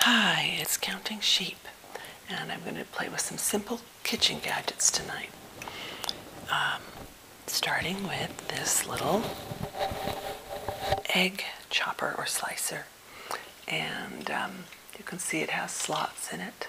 Hi, it's Counting Sheep, and I'm going to play with some simple kitchen gadgets tonight. Um, starting with this little egg chopper or slicer, and um, you can see it has slots in it.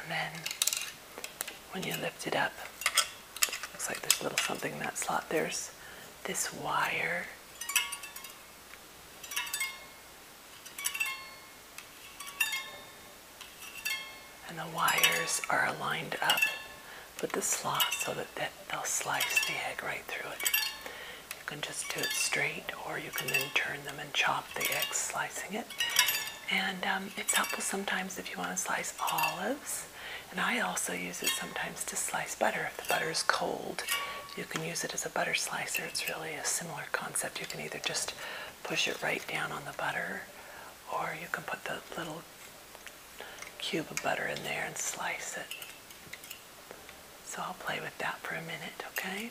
And then when you lift it up, looks like there's a little something in that slot. There's this wire and the wires are aligned up with the slot so that, they'll slice the egg right through it. You can just do it straight or you can then turn them and chop the egg slicing it. And um, it's helpful sometimes if you want to slice olives. And I also use it sometimes to slice butter. If the butter is cold, you can use it as a butter slicer. It's really a similar concept. You can either just push it right down on the butter or you can put the little cube of butter in there and slice it. So I'll play with that for a minute, okay?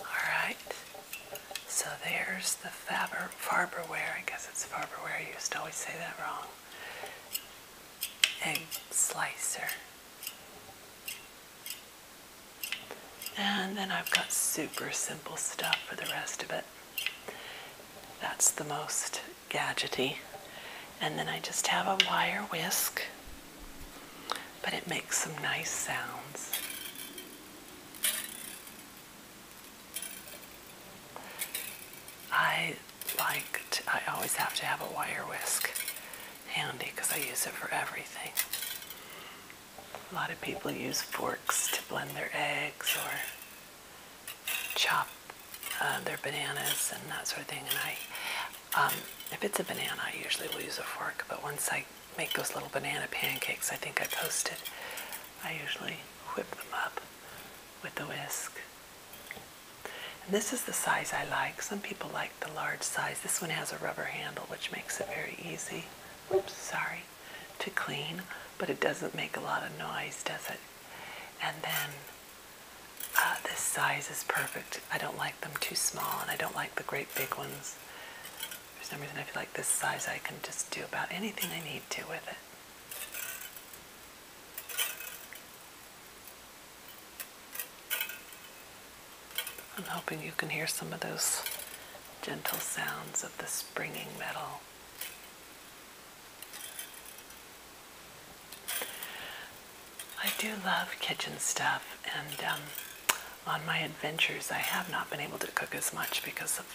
Alright, so there's the Faber, Farberware, I guess it's Farberware, I used to always say that wrong, egg slicer. And then I've got super simple stuff for the rest of it. That's the most gadgety. And then I just have a wire whisk, but it makes some nice sounds. I like, I always have to have a wire whisk handy because I use it for everything. A lot of people use forks to blend their eggs or chop uh, their bananas and that sort of thing. And I, um, if it's a banana, I usually will use a fork. But once I make those little banana pancakes, I think I posted, I usually whip them up with a whisk. And this is the size I like. Some people like the large size. This one has a rubber handle, which makes it very easy oops, sorry, to clean, but it doesn't make a lot of noise, does it? And then uh, this size is perfect. I don't like them too small, and I don't like the great big ones. For some reason, I feel like this size I can just do about anything I need to with it. I'm hoping you can hear some of those gentle sounds of the springing metal. I do love kitchen stuff, and um, on my adventures, I have not been able to cook as much because of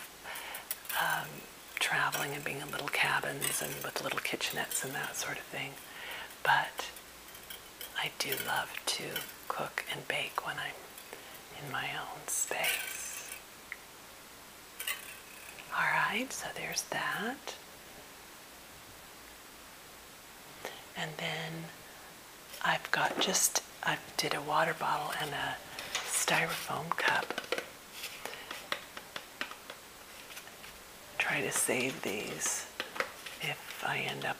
um, traveling and being in little cabins and with little kitchenettes and that sort of thing. But I do love to cook and bake when I'm in my own space. Alright, so there's that. And then I've got just, I did a water bottle and a styrofoam cup. Try to save these if I end up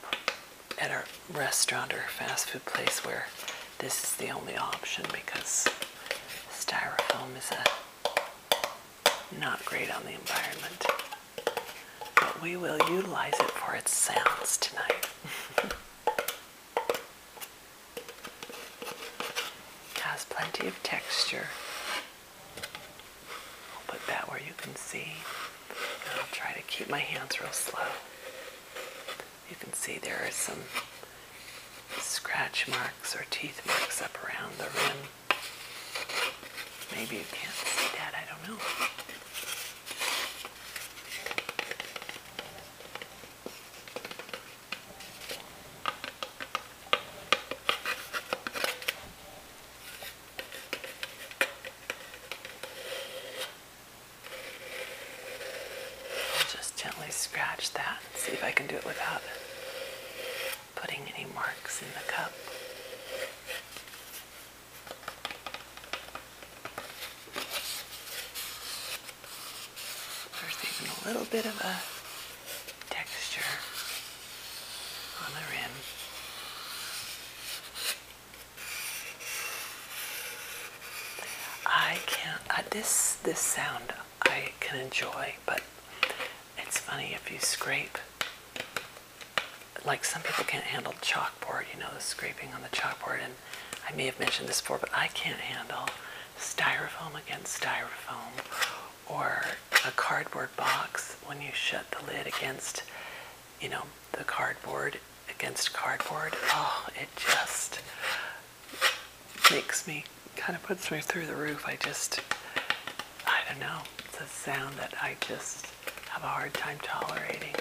at a restaurant or fast food place where this is the only option because styrofoam is not great on the environment. But we will utilize it for its sounds tonight. Has plenty of texture. I'll put that where you can see. I'll try to keep my hands real slow. You can see there are some scratch marks or teeth marks up around the rim. Maybe you can't see that, I don't know. Just gently scratch that and see if I can do it without putting any marks in the cup. There's even a little bit of a texture on the rim. I can't. this this sound I can enjoy, but it's funny if you scrape. Like some people can't handle chalkboard, you know, the scraping on the chalkboard, and I may have mentioned this before, but I can't handle styrofoam against styrofoam or a cardboard box when you shut the lid against you know, the cardboard against cardboard. Oh, it just makes me kind of puts me through the roof. I just, I don't know. It's a sound that I just have a hard time tolerating.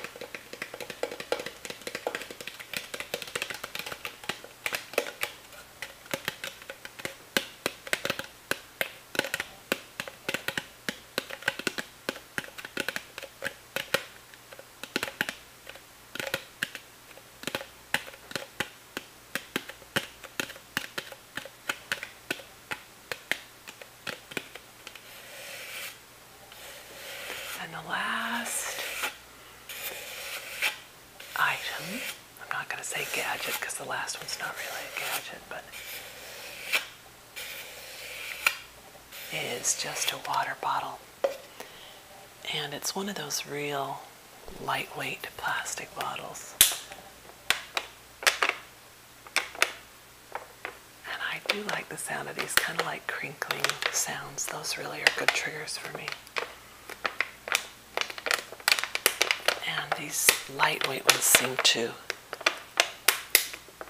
And the last item, I'm not going to say gadget because the last one's not really a gadget, but is just a water bottle. And it's one of those real lightweight plastic bottles. And I do like the sound of these, kind of like crinkling sounds. Those really are good triggers for me. And these lightweight ones seem to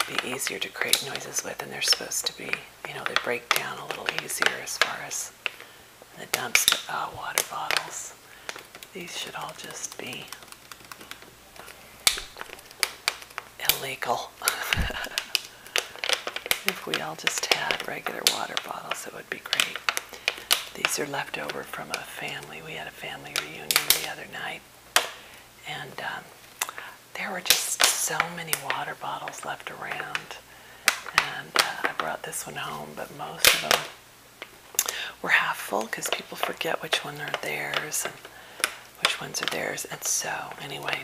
be easier to create noises with and they're supposed to be. You know, they break down a little easier as far as the dumps without uh, water bottles. These should all just be illegal. if we all just had regular water bottles, it would be great. These are left over from a family. We had a family reunion the other night night. And um, there were just so many water bottles left around. And uh, I brought this one home, but most of them were half full because people forget which one are theirs and which ones are theirs. And so, anyway,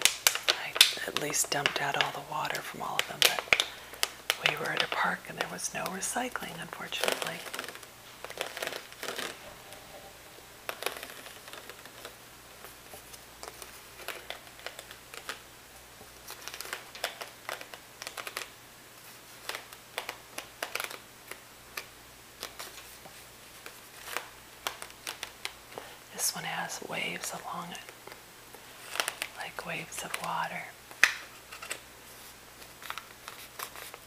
I at least dumped out all the water from all of them. But we were at a park and there was no recycling, unfortunately. This one has waves along it, like waves of water.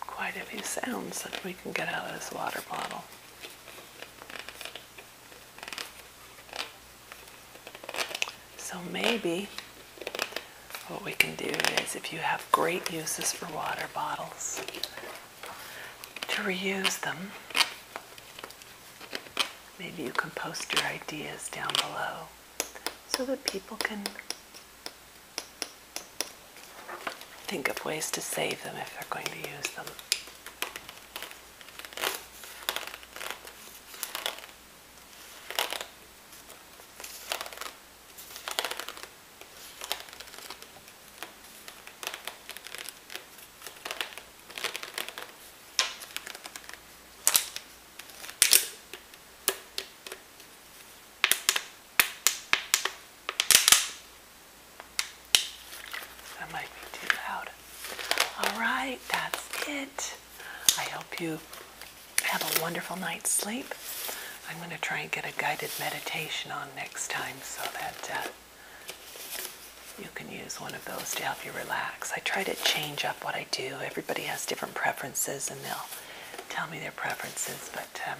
quite a few sounds that we can get out of this water bottle. So maybe what we can do is if you have great uses for water bottles, to reuse them. Maybe you can post your ideas down below so that people can Think of ways to save them if they're going to use them. That might be too loud. All right, that's it. I hope you have a wonderful night's sleep. I'm going to try and get a guided meditation on next time so that uh, you can use one of those to help you relax. I try to change up what I do. Everybody has different preferences and they'll tell me their preferences, but um,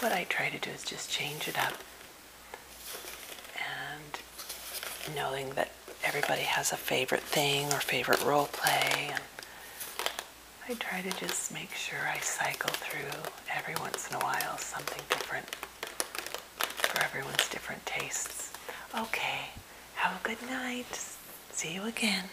what I try to do is just change it up. And knowing that everybody has a favorite thing or favorite role play. And I try to just make sure I cycle through every once in a while something different for everyone's different tastes. Okay, have a good night. See you again.